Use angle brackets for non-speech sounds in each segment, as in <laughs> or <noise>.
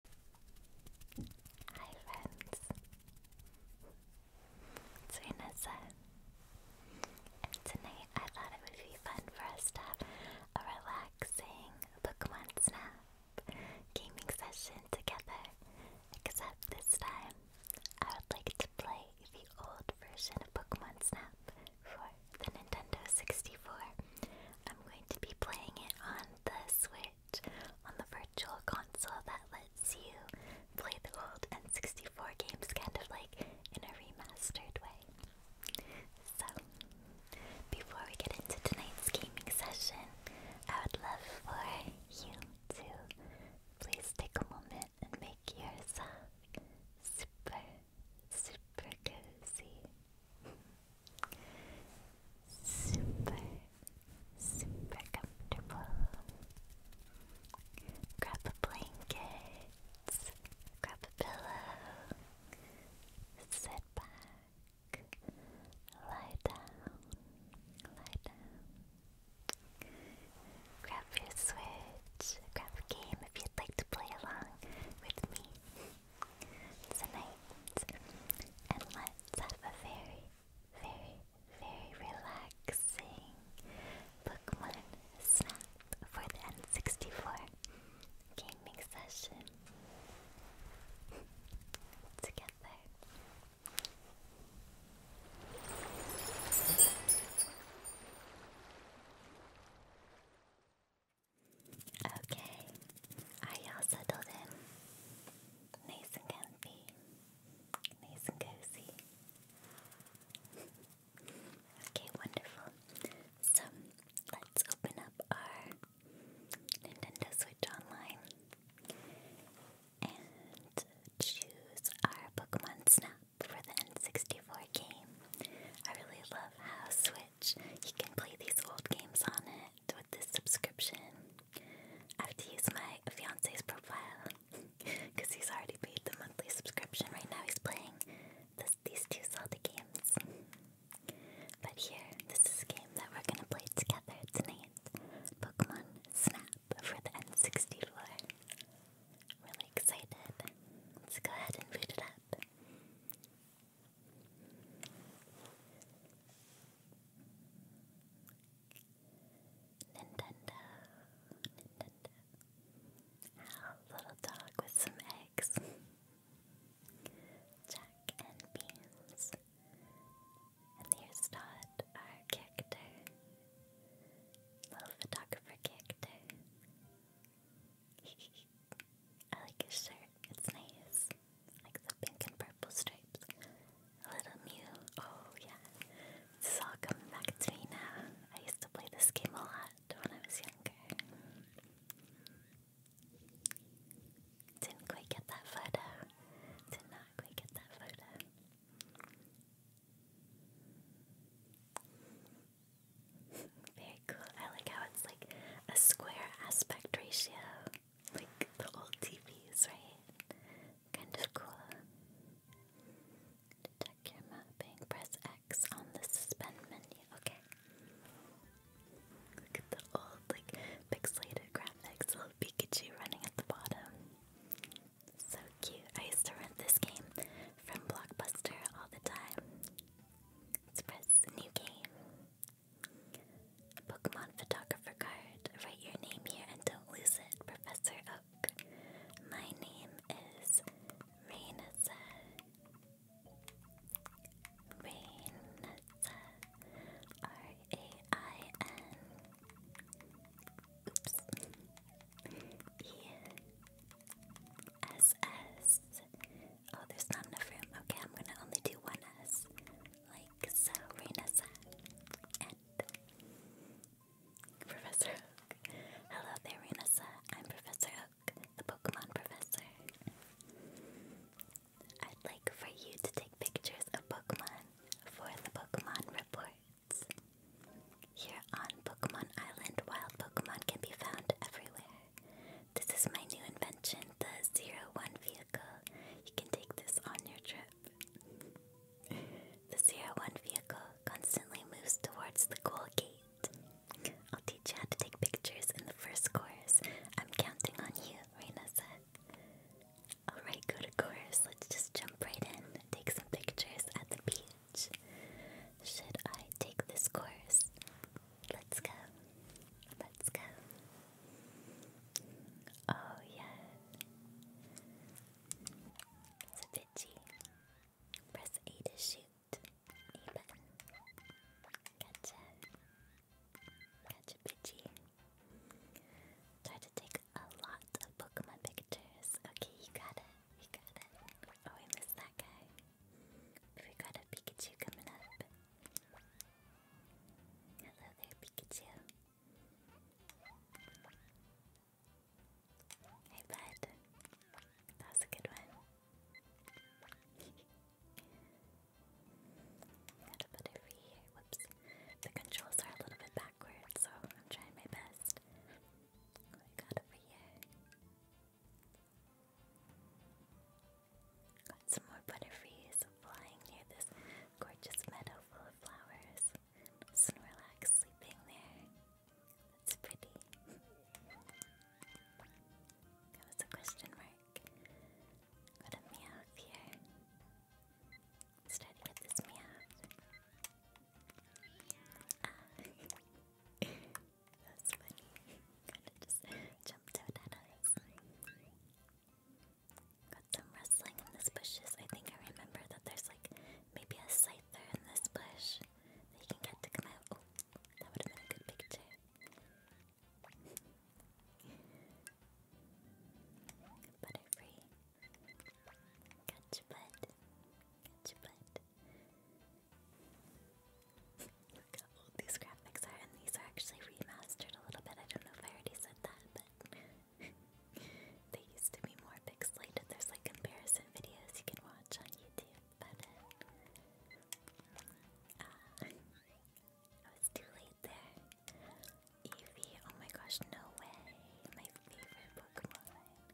Hi friends, it's I thought it would be fun for us to have a relaxing Pokemon Snap gaming session together, except this time I would like to play the old version of Pokemon Snap for the Nintendo 64. I'm going to be playing it on the Switch on the virtual console that lets you play the old N64 games kind of like in a remastered way. So, before we get into tonight's gaming session, I would love for you to please take a moment and make yourself super, super cozy. Super, super comfortable. Grab a blanket, grab a pillow, sit back, lie down, lie down. Grab your switch, grab a game if you'd like to play along with me tonight, and let's have a very, very, very relaxing Pokemon Snap for the N64 gaming session together. Okay, are y'all settled in? Nice and comfy, nice and cozy. okay, wonderful. So let's open up our Nintendo Switch Online and choose our Pokemon Snap for the N64 game. I really love how Switch Switch. You can play these old games on it with this subscription. I have to use my fiance's profile because <laughs> he's already paid the monthly subscription. Right now, he's playing these two Zelda games. But here, this is a game that we're gonna play together tonight Pokemon Snap for the N64. Really excited. Let's go ahead and boot it up. Nintendo, Nintendo. little dog with some eggs. Jack and beans. And there's Todd, our character. Little photographer character. <laughs> I like his shirt, it's nice like the pink and purple stripes. A little Mew, oh yeah. This back to I used to play this game a lot when I was younger. Didn't quite get that photo. Did not quite get that photo. <laughs> Very cool. I like how it's like a square aspect ratio like the old TVs, right? Kind of cool. check your mapping, press X on the suspend menu. Okay. Look at the old, like, pixelated graphics, little Pikachu running at the bottom. So cute. I used to rent this game from Blockbuster all the time. Let's press new game. Pokemon photographer card. Write your name here and don't lose it, Professor Oak. My name is Rainasa. Rainasa. R-A-I-N. Oops. E-S-S. -S. Oh, there's not enough room. Okay, I'm gonna only do one S like Serena San Professor Hello there, Renessa. I'm Professor Oak, the Pokemon Professor. I'd like for you to take pictures of Pokemon for the Pokemon reports. Here on Pokemon Island, wild Pokemon can be found everywhere. This is my new invention, the Zero One vehicle. You can take this on your trip. The Zero One vehicle constantly moves towards the goal gate. I'll teach you how to take pictures in the first course. I'm counting on you, Reina said. Alright, go to course. Let's just jump right in. Take some pictures at the beach. Should I take this course? Let's go. Let's go. Oh, yeah. It's a bitchy. Press A to shoot. A button. Gotcha. Gotcha, bitchy. Try to take a lot of Pokemon pictures. Okay, you got it. You got it. Oh, I missed that guy. We got a Pikachu coming up. Hello there, Pikachu. Hey, bud. That was a good one. Gotta put over here. Whoops. The controls are a little bit backwards, so I'm trying my best. What do over here? Got some more butterflies flying near this gorgeous meadow full of flowers. Snorlax sleeping there. That's pretty. <laughs> that was a question mark. Got a Meowth here. Start with this Meowth. Ah. <laughs> That's funny. <laughs> Kinda just jumped out at us. Got some rustling in these bushes. I think I remember that there's like maybe a there in this bush that you can get to come out. Oh, that would have been a good picture. <laughs> Butterfree. Catch your Catch your <laughs> these graphics are, and these are actually remastered a little bit. I don't know if I already said that, but <laughs> they used to be more pixelated. There's like comparison videos you can watch on YouTube, but uh, uh, oh, too late there. Eevee, oh my gosh, no way! My favorite Pokemon.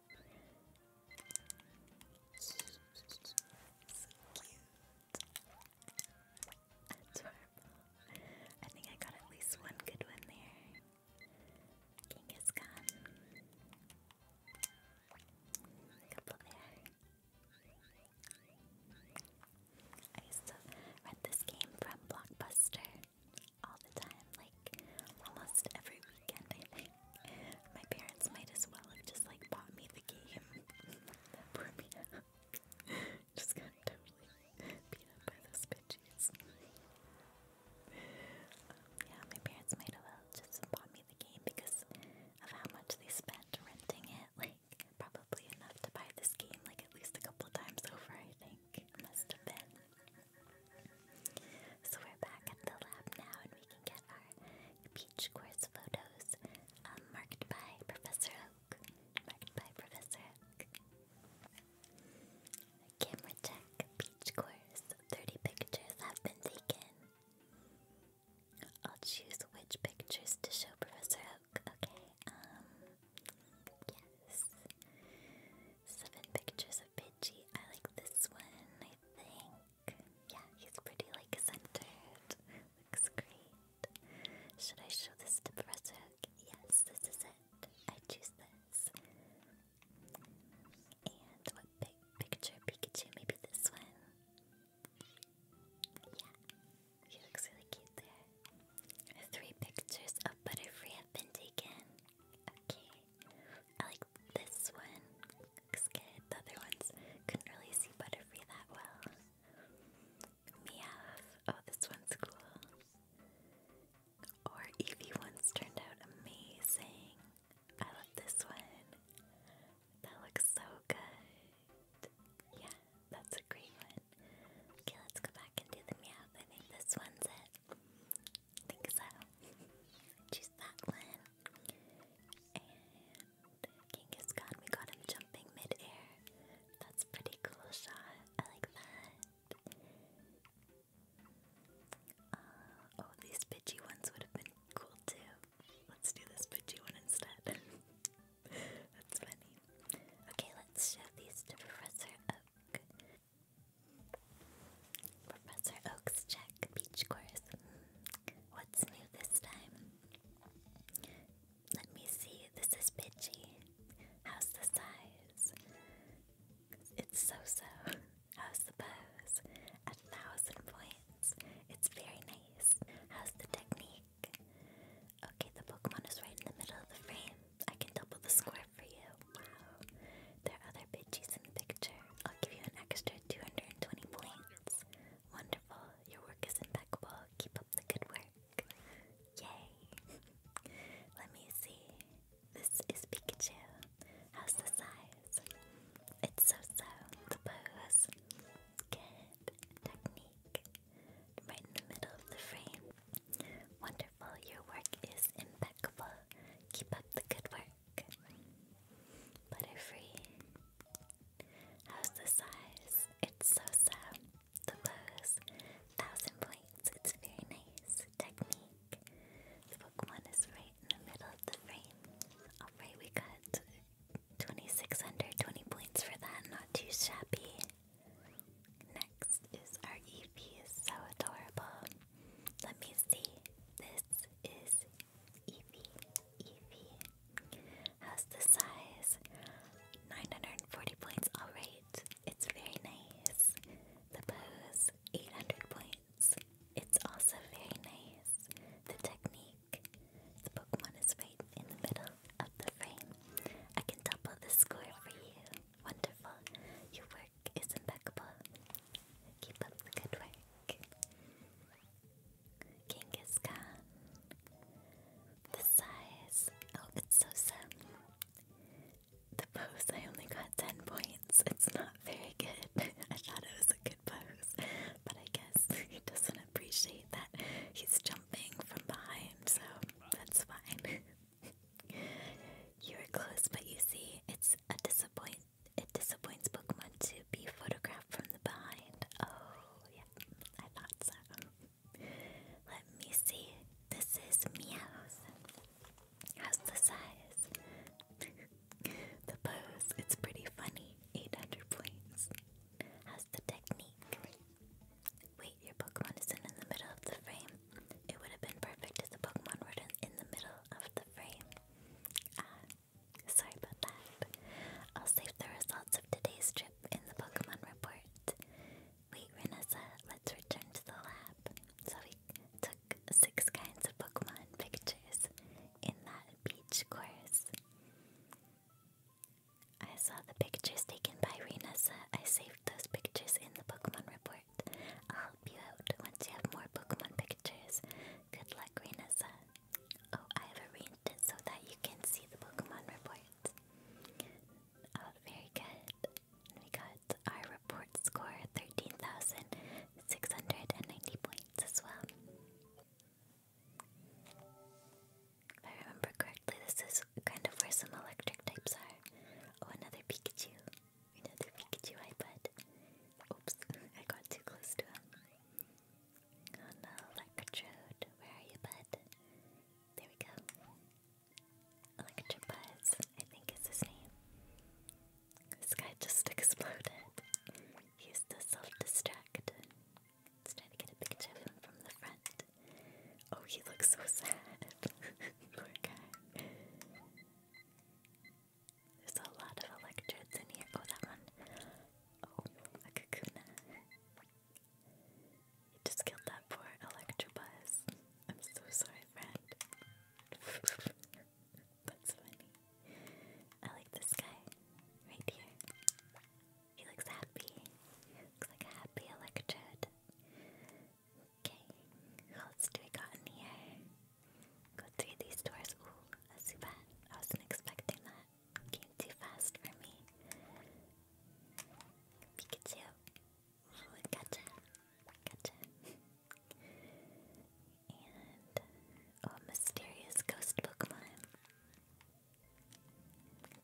<laughs> So cute. Adorable. I think I got at least one good one there. King is gone. Couple there. I used to rent this game from Blockbuster all the time, like almost every weekend, My parents might as well have just like bought me the game. <laughs> <laughs> Just got totally beat up by those bitches. <laughs> Um, yeah, my parents might have well uh, just bought me the game because of how much they spent renting it. Like, probably enough to buy this game, like, at least a couple times over, I think. must have been. So we're back at the lab now and we can get our beach course photos um, marked by Professor by Professor Oak. Camera check, beach course. 30 pictures have been taken. I'll choose which pictures to show Professor Oak. Okay, um, yes. Seven pictures of Pidgey. I like this one, I think. Yeah, he's pretty, like, centered. Looks great. Should I show this to Professor Hook? Yes, this is it. I choose this. And big picture Pikachu? Maybe this one. Yeah, he looks really cute there. Three pictures of Butterfree have been taken. Okay, I like this one. Looks good. The other ones couldn't really see Butterfree that well. Meowth. Oh, this one's cool. Or Eevee ones turned out amazing. I love this one. That looks so good. Yeah, that's a great one. Okay, let's go back and do the Meowth. I think this one's it. think so. Choose that one. Genghis Khan, we got him jumping mid That's pretty cool shot. I like that. Uh, oh, these bitchy ones would have been cool too. Let's do this bitchy one instead. <laughs> That's funny. Okay, let's show these to Professor Oak. Professor Oak's check, beach course. What's new this time? Let me see. This is bitchy. How's the size? It's so so. How's the pose? A thousand points. It's very nice. How's the technique? Okay, the Pokemon is right in the middle of the frame. I can double the square for you. Wow. There are other bitches in the picture. I'll give you an extra 220 points. Wonderful. Your work is impeccable. Keep up the good work. Yay. <laughs> Let me see. This is Pikachu. How's the size? It's so-so. The pose. Good. Technique. Right in the middle of the frame. Wonderful. Your work is impeccable. Keep up the good work. Butterfree. How's the size? It's so sad. The pose, thousand points. It's a very nice technique. The book one is right in the middle of the frame. Alright, we got 2620 points for that. Not too shabby. Next is our Is So adorable. Let me see. This is Eevee. Eevee. How's the size? 940 points, alright. It's very nice. The pose, 800 points. It's also very nice. The technique, the Pokemon is right in the middle of the frame. I can double the score for you. Wonderful. Your work is impeccable. Keep up the good work. Genghis The size. Oh, it's so simple. The pose, I only got 10 points. It's not very good. <laughs> I thought it was a good pose, but I guess <laughs> he doesn't appreciate that he's jumping from behind, so that's fine. <laughs> you were close, but you see, it's a disappoint. It disappoints Pokemon to be photographed from the behind. Oh, yeah. I thought so. Let me see. This is Meow's. How's the size? <laughs> the pose, it's pretty funny. 800 points. How's the technique? Wait, your Pokemon is in the middle of the frame. It would have been perfect if the Pokemon were in the middle of the frame. Ah, sorry about that. I'll save the results of today's trivia in the Pokemon report. Wait, Renessa, let's return to the lab. So we took six kinds of Pokemon pictures in that beach course. I saw the pictures taken by Renessa. I saved those pictures in the Pokemon report. I'll help you out once you have more Pokemon pictures. Good luck, Renessa. Oh, I have arranged it so that you can see the Pokemon report. Oh, very good. We got our report score 13,690 points as well. I remember correctly, this is kind of where some electric types are. Oh, another Pikachu. Another Pikachu iPad. Oops, <laughs> I got too close to him. Oh no, Electrode, where are you, bud? There we go. Electrobuzz, I think is his name. This guy just <laughs> exploded. He used to self-destruct. Let's try to get a picture of him from the front. Oh, he looks so <laughs> sad. Poor guy. There's a lot of electrodes in here. Oh, that one. Oh, a Kakuna. You just killed that poor Electrobuzz. I'm so sorry, friend. <laughs> That's funny. I like this guy right here. He looks happy. looks like a happy electrode. Okay, who else do we got in here? Go through these doors. Ooh, a Zubat. I wasn't expecting that came too fast for me. Pikachu. Oh, gotcha. Gotcha. and uh, mysterious ghost Pokemon.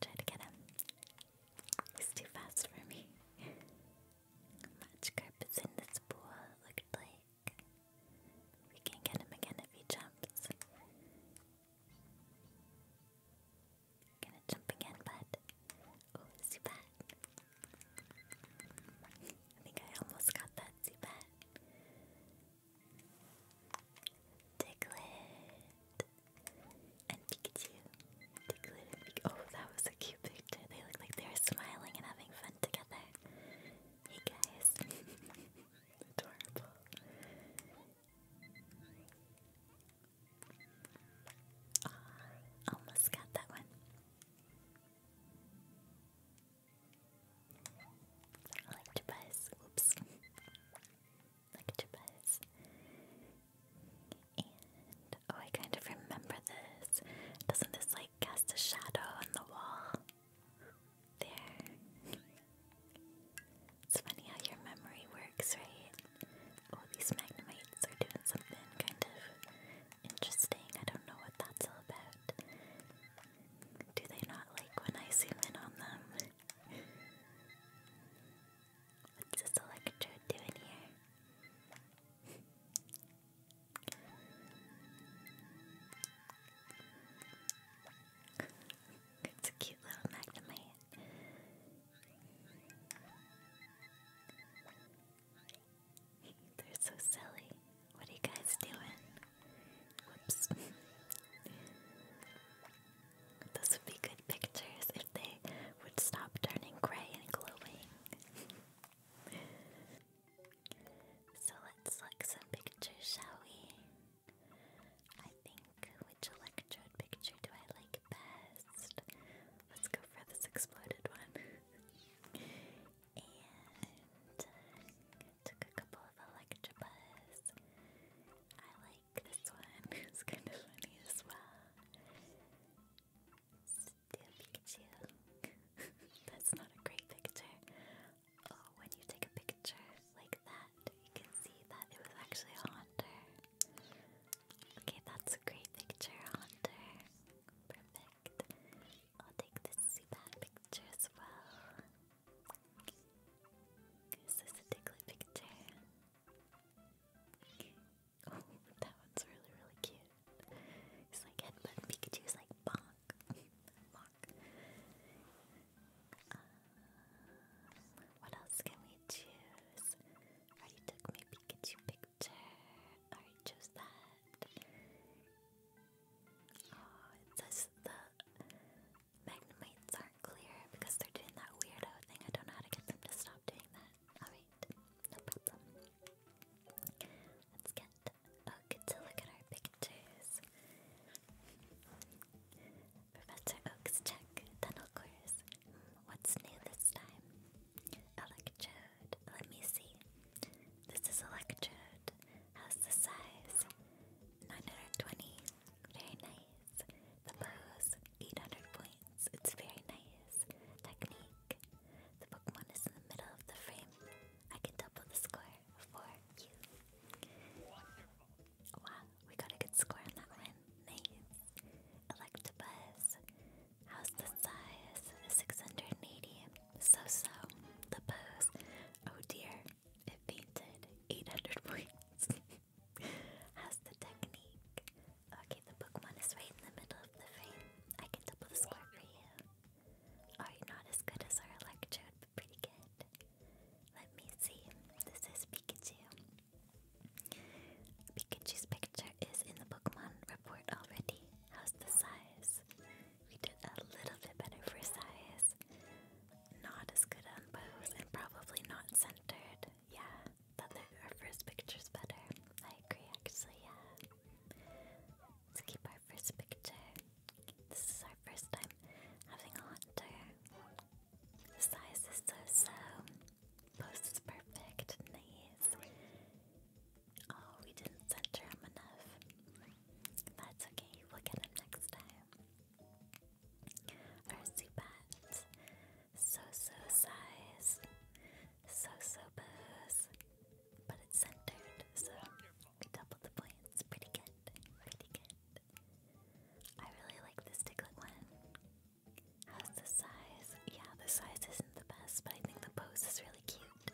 Try to get him. He's too fast for me. Magikarp is in this pool, it like. We can get him again if he jumps. Gonna jump again, but Oh, Zubat. I think I almost got that, Zubat. Diglett. And Pikachu. Diglett Oh, that was a cute picture. They look like they were smiling and having fun together. Hey guys. <laughs> Adorable. Oh, almost got that one. Electabuzz. Whoops. <laughs> Electabuzz. And oh, I kind of remember this. Doesn't this like cast a shadow on the wall? There. it's funny how your memory works, right? Oh, these magnemites are doing something kind of interesting. I don't know what that's all about. Do they not like when I zoom in on them? What's this electrode doing here? It's a cute little magnet in <laughs> They're so silly. What are you guys doing? Whoops. <laughs> Those would be good pictures if they would stop turning gray and glowing. <laughs> so let's look some pictures, shall we? I think which electrode picture do I like best? Let's go for this exploded one. took a couple of electrobus. I like this one. <laughs> It's kind of funny as well. Still Pikachu. <laughs> That's not a great picture. Oh, when you take a picture like that, you can see that it was actually a Okay, that's a great picture, haunter. Perfect. I'll take this Zubat picture as well. This is a Diglett picture. Oh, that one's really, really cute. It's like headbutt Pikachu's like bonk, uh, what else can we choose? I already took Pikachu picture. I already chose that. Oh, it says the Magnemites aren't clear because they're doing that weirdo thing. I don't know how to get them to stop doing that. Alright, no problem. Let's oh, get. to look at our pictures. Professor Oak's Check Tunnel Course. Hmm, what's new this time? Electrode. Let me see. This is Electrode. How's the size? 920. Very nice. The pose. 800 points. It's very nice. Technique. The Pokemon is in the middle of the frame. I can double the score for you. Wonderful. Wow, we got a good score on that one. Nice. Electabuzz. How's the size? 680. So so. The pose. Oh dear. It fainted. 800 points. <laughs> How's the technique? Okay, the Pokemon is right in the middle of the frame. I can double the score for you. Are you not as good as our Electrode pretty good. Let me see. This is Pikachu. Pikachu's picture is in the Pokemon report already. How's the size? We did a little bit better for size. Not as good on bows and probably not centered. Yeah, our first picture's better. I agree, actually, yeah. Let's keep our first picture. This is our first time having a hunter. size is so so. Post is perfect. Nice. Oh, we didn't center him enough. That's okay, we'll get him next time. Our Zubat. So so size. So so pose. But it's centered, so we double the points. Pretty good. Pretty good. I really like this tickling one. How's the size? Yeah, the size isn't the best, but I think the pose is really cute.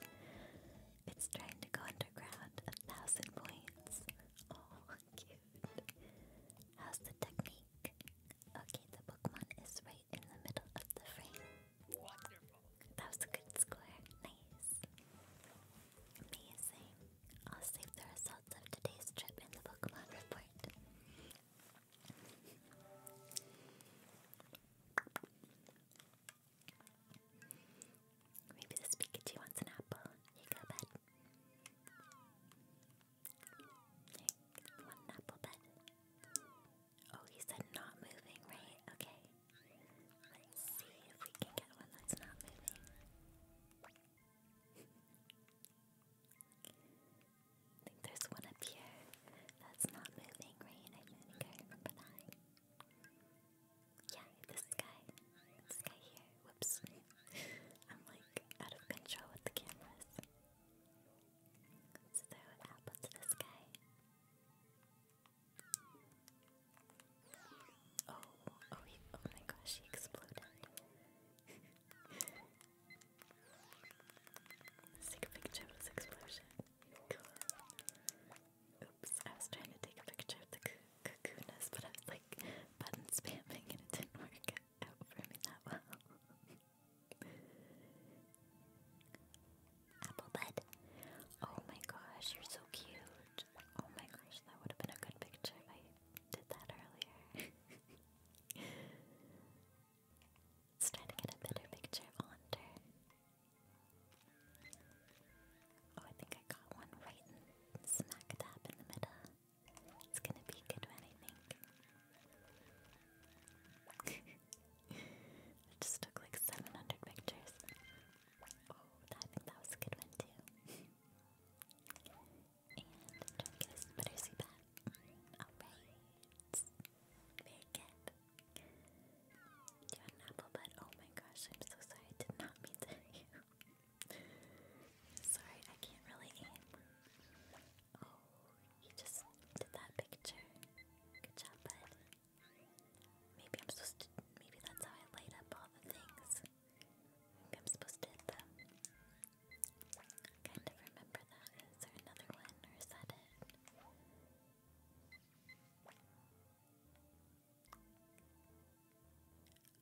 It's trying to go underground. A thousand points. Oh, <laughs> cute. How's the technique? Okay, the Pokemon is right in the middle of the frame. Wonderful. That was a good score. Nice. Amazing. I'll save the results of today's trip in the Pokemon report. Maybe this Pikachu wants an apple. You go, bud. want an apple, bud? Oh, he said not moving, right? Okay. Let's see if we can get one that's not moving. I think there's one up here that's not moving, right? I remember that. Yeah, this guy. This guy here. Whoops. I'm like out of control with the cameras. Let's throw to this guy. Oh, oh, oh, my gosh, he exploded. <laughs> take a picture of this explosion. Oops, I was trying to take a picture of the cocoonus, but I was like button spamming and it didn't work out for me that well. <laughs> Apple bud. Oh my gosh, you're so cute. Oh my gosh, that would have been a good picture I did that earlier. <laughs> let to get a better picture on her. Oh, I think I got one right smack dab in the middle. It's gonna be a good one, I think. <laughs> it just took like 700 pictures. Oh, I think that was a good one too. <laughs> And don't Alright. Very You had an apple bud. Oh my gosh, I'm so sorry. I did not mean to hurt you. sorry, I can't really aim. Oh, you just did that picture. Good job, bud. Maybe I'm supposed to. Maybe that's how I light up all the things. I'm supposed to hit them. kind of remember that. Is there another one, or is that it?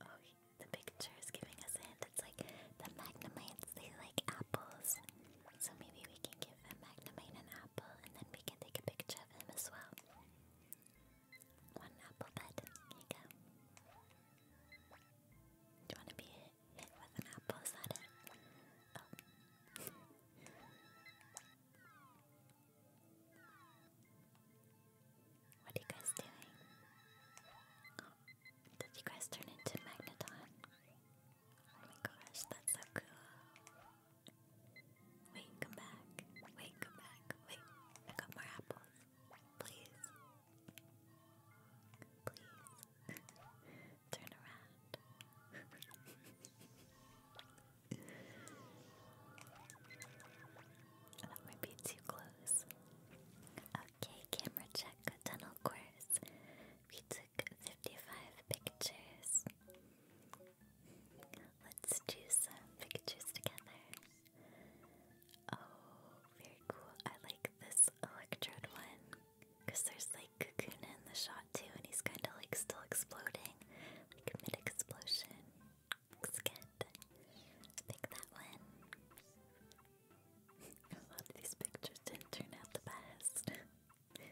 Oh, the picture is giving us a hint. It's like the Magnemites, they like apples. So maybe we can give a Magnemite an apple and then we can take a picture of him as well. One apple bud. Here you go. Do you want to be hit, with an apple? Is oh. what are you guys doing? Oh, did you guys turn into Magneton? Oh my gosh, that's so cool. Wait, come back. Wait, come back. Wait, I got more apples. Please. Please. <laughs> Turn around. <laughs> that might be too close. Okay, camera check tunnel course. We took 55 pictures. Let's choose some pictures together. Oh, very cool. I like this electrode one. Because there's like Kakuna in the shot too, and he's kind of like still exploding. Like mid explosion. Looks good. I that one. <laughs> A lot of these pictures didn't turn out the best. <laughs>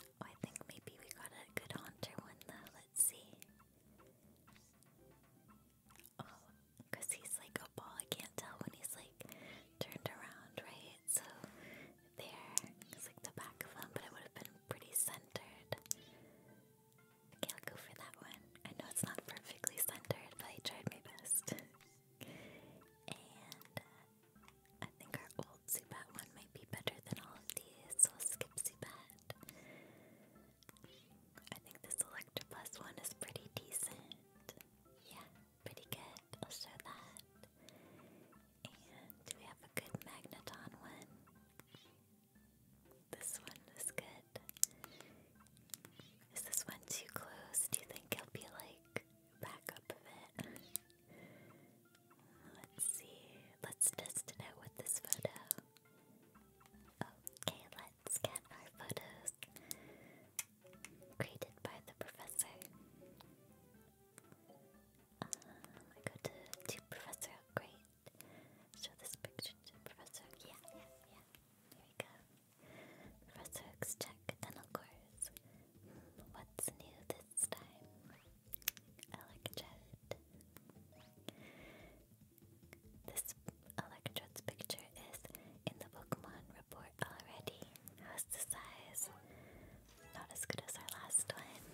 Oh, I think maybe we got a good haunter one though let's see. Oh, he's like a ball. I can't tell when he's like turned around, right? So there, it's like the back of him, but it would have been pretty centered. Okay, I'll go for that one. I know it's not perfectly centered, but I tried my best. and uh, I think our old Zubat one might be better than all of these, so we I think this Electra Plus one is pretty decent. Yeah, pretty good. I'll show that. And we have a good Magneton one? This one is good. Is this one too close? Do you think he'll be like back up a Let's see. Let's test it out with this photo. Okay, let's get our photos created by the professor. Um, I go to, Professor Upgrade. Show this picture to Professor. Yeah, yeah, yeah. There we go. Professor check dental course. what's new this time? Electrode. This Electrode's picture is in the Pokemon report already. How's the size? Not as good as our last one.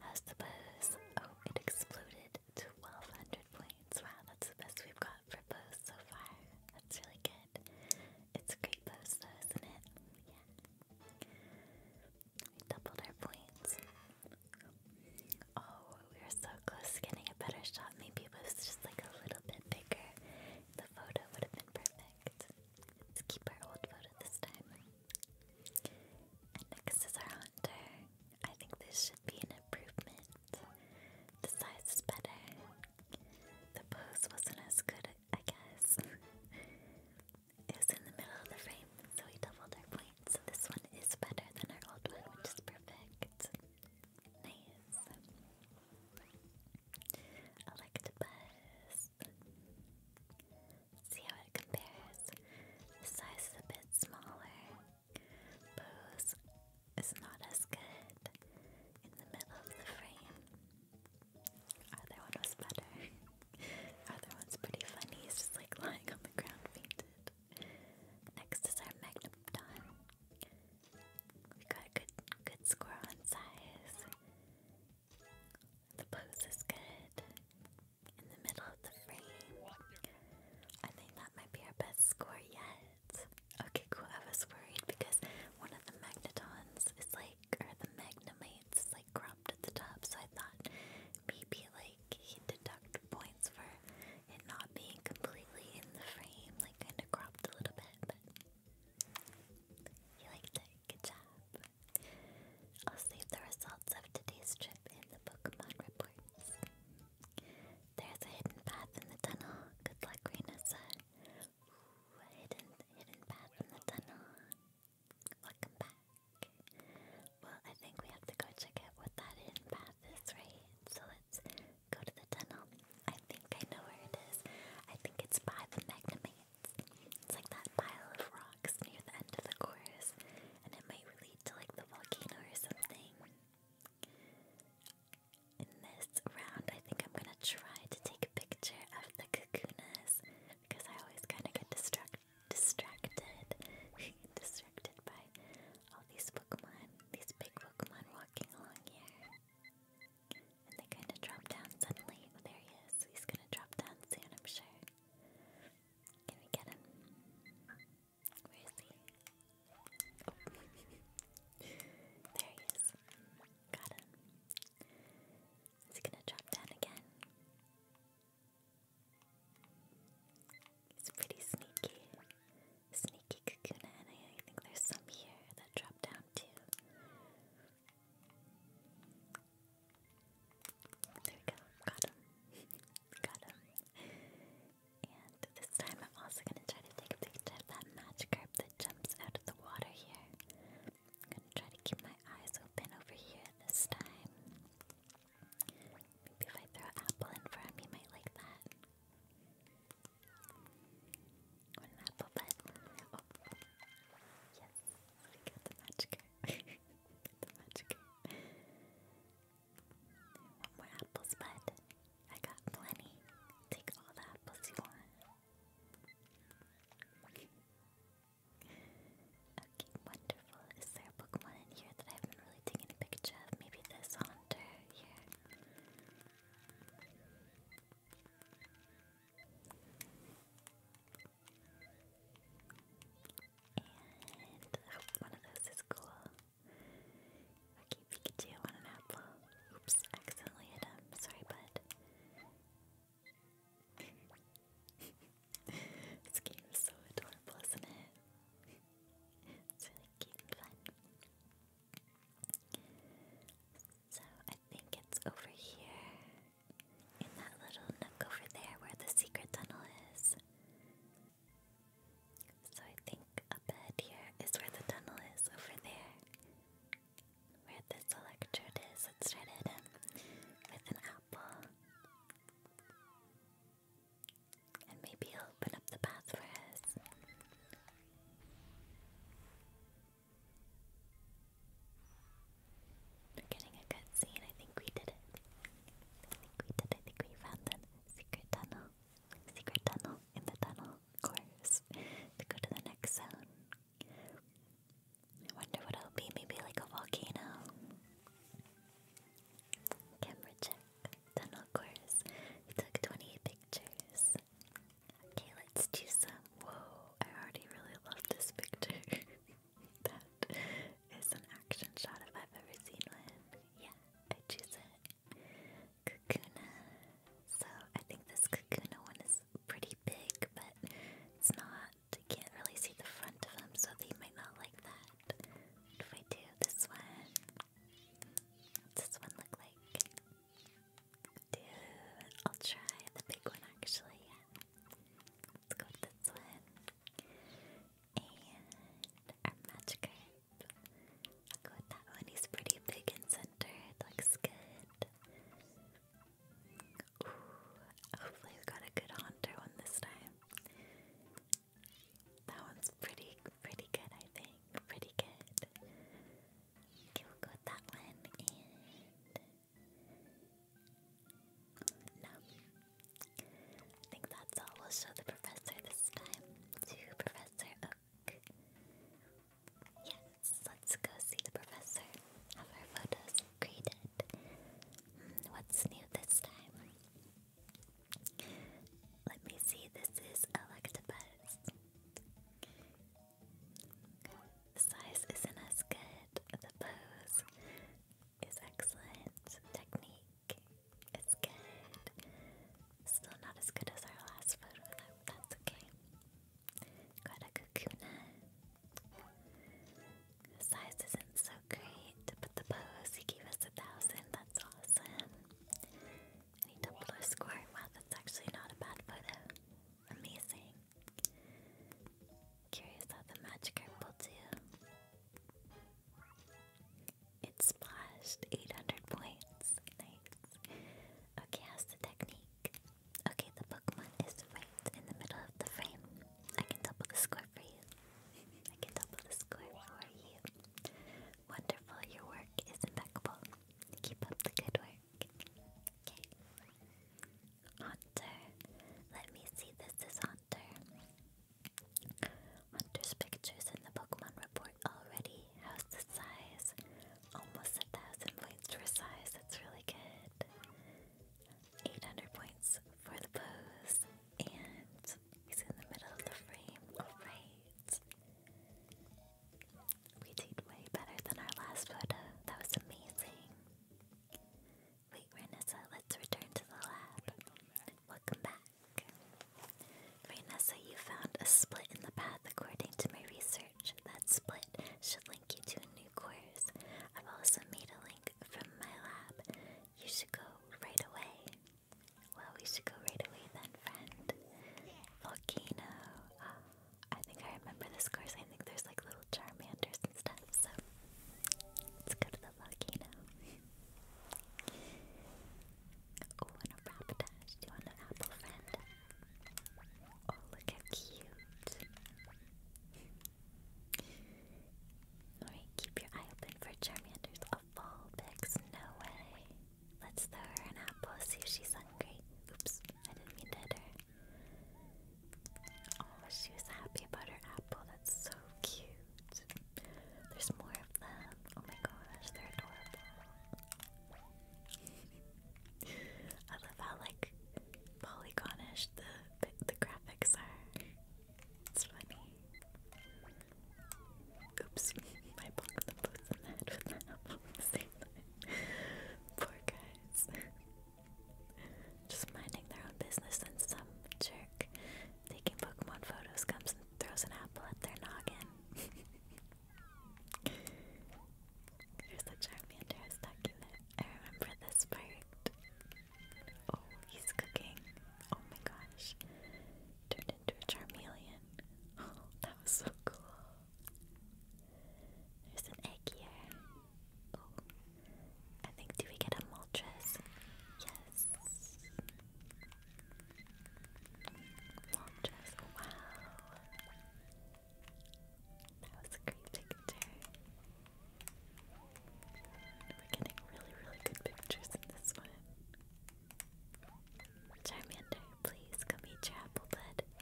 How's the pose? Oh, it exploded 1200 points. Wow, that's the best we've got for pose so far. That's really good. It's a great pose though, isn't it? Yeah. We doubled our points. Oh, we were so close to getting a better shot. Maybe it was just like a little bit bigger. The photo would have been perfect. Let's keep our old photo this time. next is our hunter. I think this should be an improvement. The size is better. The pose wasn't as good, I guess. <laughs> it was in the middle of the frame, so we doubled our point. So this one is better than our old one, which is perfect. Nice. Electabuzz. See how it compares. The size is a bit smaller. Bose is not as good. In the middle of the frame. Other one was better. Other <laughs> one's pretty funny. He's just like lying on the ground fainted. Next is our Magnopodon. We got a good, good score on size. The pose is good. In the middle of the frame. I think that might be our best score yet. Okay, cool. I was worried because one of the Magnetons is like, or the Magnemates is like cropped at the top, so I thought maybe like he'd deduct points for it not being completely in the frame, like kind of cropped a little bit, but liked it. Good job. I'll save the results of today's trip in the Pokemon reports. There's a hidden path in the tunnel. Good luck, Renessa. a hidden, hidden path in the tunnel. Welcome back. Well, I think we have to go check out what that hidden path is, right? So let's go to the tunnel. I think I know where it is. I think it's by the Magnamates. It's like that pile of rocks near the end of the course, and it might relate to like the volcano or something. In this round, I think I'm gonna try to take a picture of the kakunas because I always kind of get distracted distracted. <laughs> distracted by all these Pokemon, these big Pokemon walking along here. And they kind of drop down suddenly. Oh, there he is. He's gonna drop down soon, I'm sure. Can we get him? Where is he? <laughs> there he is. Got him. Is he gonna drop down again? It's pretty sneaky. Sneaky Kakuna, and I think there's some here that drop down too. There we go, got him. <laughs> got him. And this time I'm also gonna try to take a picture of that Magikarp that jumps out of the water here. I'm gonna try to keep my eyes open over here this time. Maybe if I throw an apple in for him, he might like that. What apple bun. Oh. Yes, we got the magic. <laughs> got the magic. Want more apples, bud? I got plenty. Take all the apples you want. Okay, wonderful. Is there a Pokemon in here that I haven't really taken a picture of? Maybe this Haunter here. And I hope one of those is cool. Okay, Pikachu on an apple. Oops, accidentally hit him. Sorry, bud. <laughs> this game is so adorable, isn't it? it's really cute So I think it's over here in that little nook over there where the secret tunnel is. So I think up ahead here is where the tunnel is over there. Where this electrode is, let's um, with an apple. And maybe he'll open up the path for us. We're getting a good scene. I think we did it. I think we did. I think we found the secret tunnel. Secret tunnel in the tunnel course <laughs> to go to the next zone. I wonder what it'll be. Maybe like a volcano. Camera check. Then course, we took 28 pictures. Okay, let's do some. Whoa, I already really love this picture. <laughs> that is an action shot if I've ever seen one. Yeah, I choose it. Kakuna. So I think this Kakuna one is pretty big, but it's not I can't really see the front of them, so they might not like that. if I do this one? What's one look like? Dude, I'll try the big one actually, Let's go with this one. And our Magikarp. I'll go with that one. He's pretty big and centered. Looks good. hopefully we got a good Haunter one this time. That one's pretty, pretty good, I think. Pretty good. Okay, we'll that one No. Um, I think that's all. We'll show the professor this time to Professor Oak. Yes, let's go see the professor. Have our photos graded. Hmm, what's new this time? Let me see, this is Electabuzz. The size isn't as good, the pose is excellent, technique is good. Still not as good as our last photo though, that's okay. Got a Kakuna. The size isn't so great, but the pose, he gave us a thousand, that's awesome. And he doubled our score. Wow, that's actually not a bad photo. Amazing. Curious how the magic herb will do. It splashed 800 points. Nice. Okay, how's the technique? Okay, the Pokemon is right in the middle of the frame. I can double the score for you. I can double the score for you. Wonderful, your work is impeccable. Keep up the good work. Okay. Haunter. Let me see, this is Haunter. Hunter's pictures in the Pokemon report already. How's the size? Almost a thousand points for size, that's really good. 800 points for the pose, and he's in the middle of the frame. Alright. We did way better than our last photo. That was amazing. Wait, Renessa, let's return to the lab. Welcome back. Renessa, you found a split in the path according to my research. That split should link you to a new course. I've also made a link from my lab you should go right away. Well, we should go right away then, friend. Volcano. I think I remember this course. I think there's like little Charmanders and stuff, so let's go to the volcano. oh, and a Rapidash. Do you want an apple, friend? Oh, look how cute. Alright, keep your eye open for Charmander's a fall picks. No way. Let's throw her an apple, see if she's hungry. Oops, I didn't mean to Oh, she was happy about her apple. That's so cute. There's more of them. Oh my gosh, they're adorable. I love how like polygonish the the graphics are. It's funny. Oops, I bumped the boots in the head with the apple at the <laughs> same time. Poor guys. Just minding their own business and some jerk taking Pokemon photos comes and throws an apple at their noggin. There's <laughs> the Charmander I was talking about. I remember this part. Oh, he's cooking. Oh my gosh. Turned into a Charmeleon. <laughs> that was so cool. There's an egg here. Oh, I think, do we get a Moltres? Yes. Moltres, wow. That was a great picture. We're getting really, really good pictures in this one. Charmander, please come eat your apple, bud. Okay.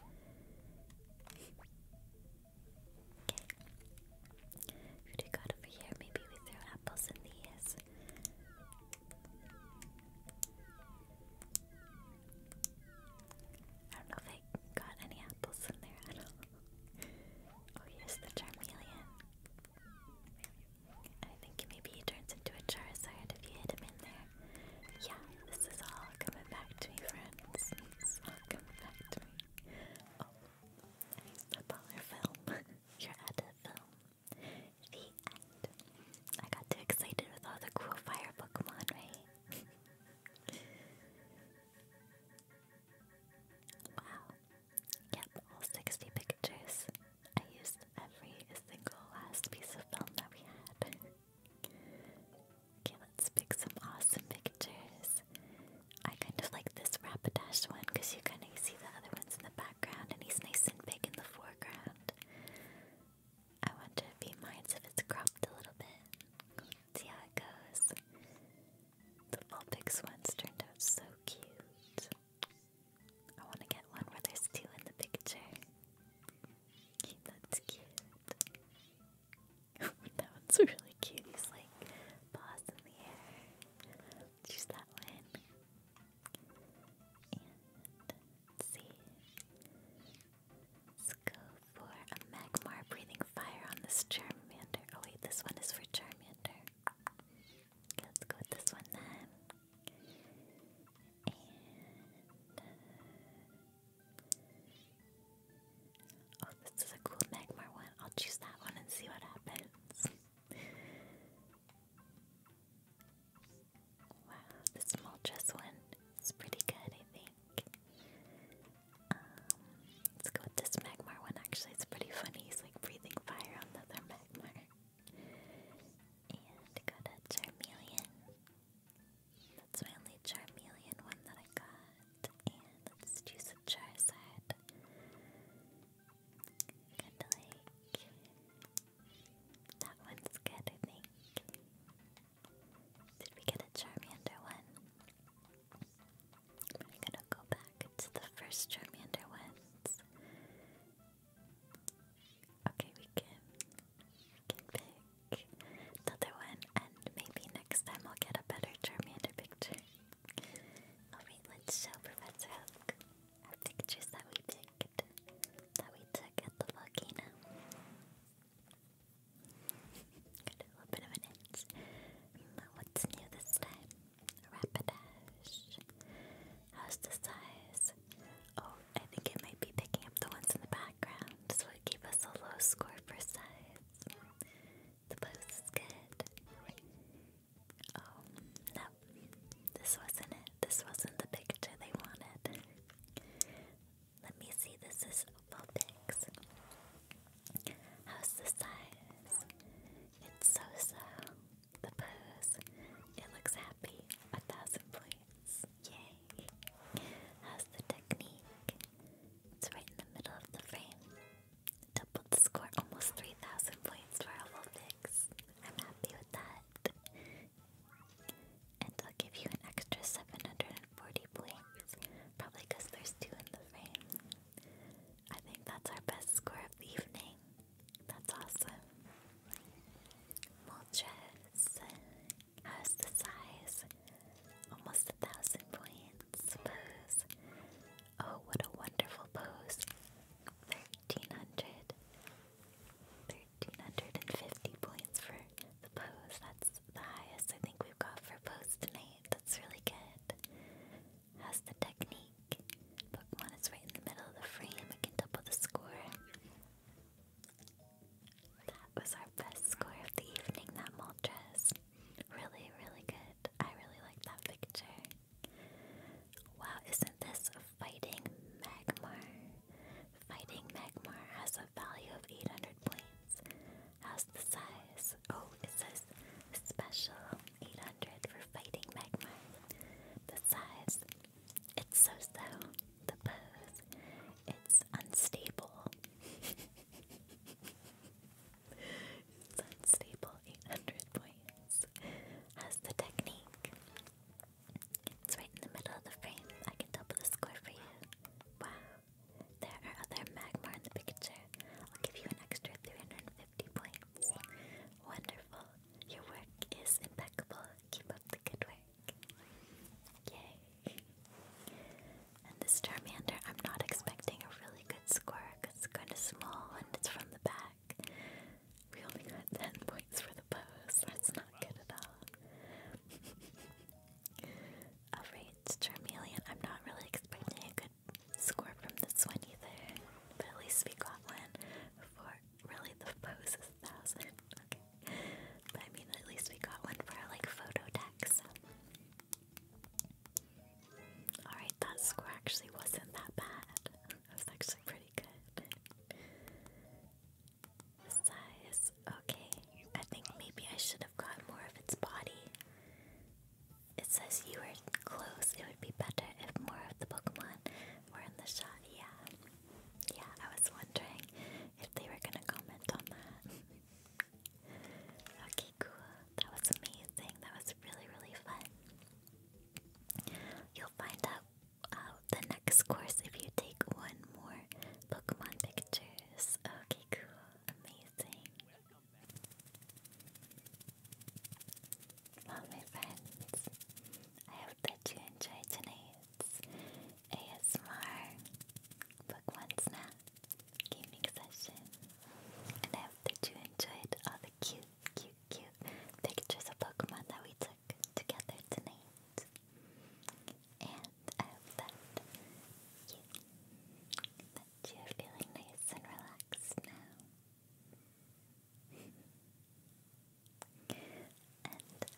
Who do over here? Maybe we throw apples in these. I don't know if I got any apples in there Oh, here's the Charmeleon. I think maybe he turns into a Charizard if you hit him in there. Yeah, this is all coming back to me, friends. all coming back to me. Oh, I slip on our film. <laughs> You're at a film. The end. I got too excited with all the cool fire Pokemon, right? <laughs> wow. Yep, all 60 pictures. I used every single last piece of film that we had. okay, let's pick some awesome pictures. I kind of like this Rapidash one because you kind of see the other ones in the background and he's nice and big in the foreground. I wonder if he minds if it's cropped a little bit. see how it goes. The Vulpix ones turned out so cute. I want to get one where there's two in the picture. That's cute. <laughs> that one's really cute. He's like, paws in the air. Choose that one. And see. Let's go for a Magmar breathing fire on this Charmander. Oh wait, this one is for Charmander. Let's go with this one then. oh, this is a cool Magmar one. I'll choose that one and see what happens. wow, this Moltres one is pretty good, I think let's go with this Magmar one. Actually, it's pretty funny. He's like breathing fire on the Magmar. And I got a Charmeleon. That's my only Charmeleon one that I got. And let's choose a Charizard. kind that one's good, I think. Did we get a Charmander one? I'm gonna go back to the first Charmander ones. Okay, we can, can pick another one, and maybe next time I'll get a better Charmander picture. Alright, let's show Professor Oak our pictures that we picked, that we took at the volcano. Got a little bit of an itch. What's new this time? Rapidash. How's the size? Oh, I think it might be picking up the ones in the background, so it gave us a low score for size. The pose is good. Oh, no. This wasn't it. This wasn't the picture they wanted. Let me see. This is Vulpix. How's the size? It's so so. The pose. It looks happy. A thousand points. Yay. How's the technique? It's right in the middle of the frame. Double the score almost 3,000 points for a whole fix. I'm happy with that. And I'll give you an extra 740 points. Probably because there's two in the frame. I think that's our best score of the evening. That's awesome. Moltres uh, the size. Almost a thousand points. Pose. Oh, what a wonderful pose. 1300. 1350 points for the pose. That's the highest I think we've got for pose tonight. That's really good has the technique. Pokemon is right in the middle of the frame. It can double the score. That was our best score of the evening, that Moltres. Really, really good. I really like that picture. Wow, isn't this fighting Magmar? Fighting Magmar has a value of 800 points. How's the size? Oh, it says special 800 for fighting magma. The size, it's so so. The pose, it's unstable. unstable, 800 points. How's the technique? It's right in the middle of the frame. I can double the score for you. Wow there are other magma in the picture. I'll give you an extra 350 points. Wonderful. Your work is impeccable. Keep up the good work. Yay. And this Charmander, I'm not expecting a really good score because it's kind of small and it's from the back. We only got 10 points for the pose. That's not good at all. <laughs> Alright, Charmeleon, I'm not really expecting a good score from this one either, but at least we got one for really the pose is a thousand. Okay, but I mean, at least we got one for our like photo decks. Alright, that score actually wasn't that bad. It was actually pretty good. Size, okay. I think maybe I should have got more of its body it says you were close. It would be better if more of the Pokemon were in the shot. Yeah. Yeah, I was wondering if they were gonna comment on that. <laughs> okay, cool. That was amazing. That was really, really fun. You'll find out uh, the next course if you take one more Pokemon pictures. Okay, cool. Amazing. Well, my friends, I hope that you enjoyed tonight's ASMR Pokemon Snap gaming session. And I hope that you enjoyed all the cute, cute, cute pictures of Pokemon that we took together tonight. And I hope that you, that you're feeling nice and relaxed now. <laughs> and I hope that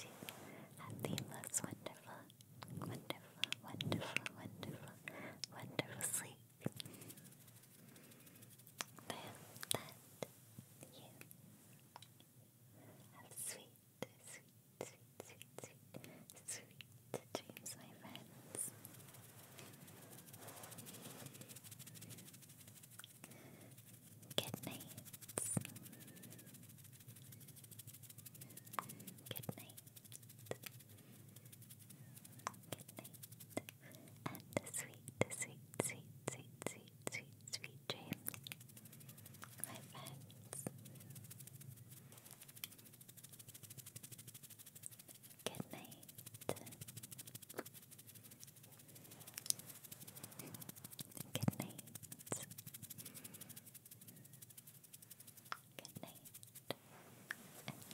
you have the most wonderful, wonderful, wonderful, wonderful, wonderful sleep. I that you have sweet, sweet, sweet, sweet, sweet, Good dreams, my friends. Good nights. Good night. Good sweet, sweet, sweet, sweet, sweet, sweet, sweet dreams, my friends. Good night. Good night. Good night.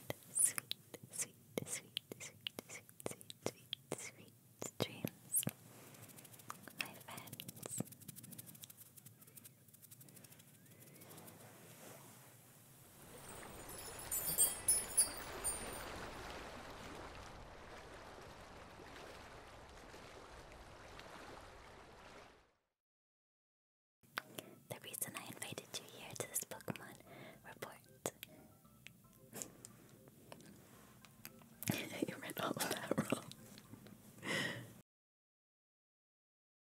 And sweet, sweet, sweet, sweet, sweet, sweet, sweet, dreams, my friends. The reason I invited you here to this Pokemon report. <laughs> you read all of that wrong.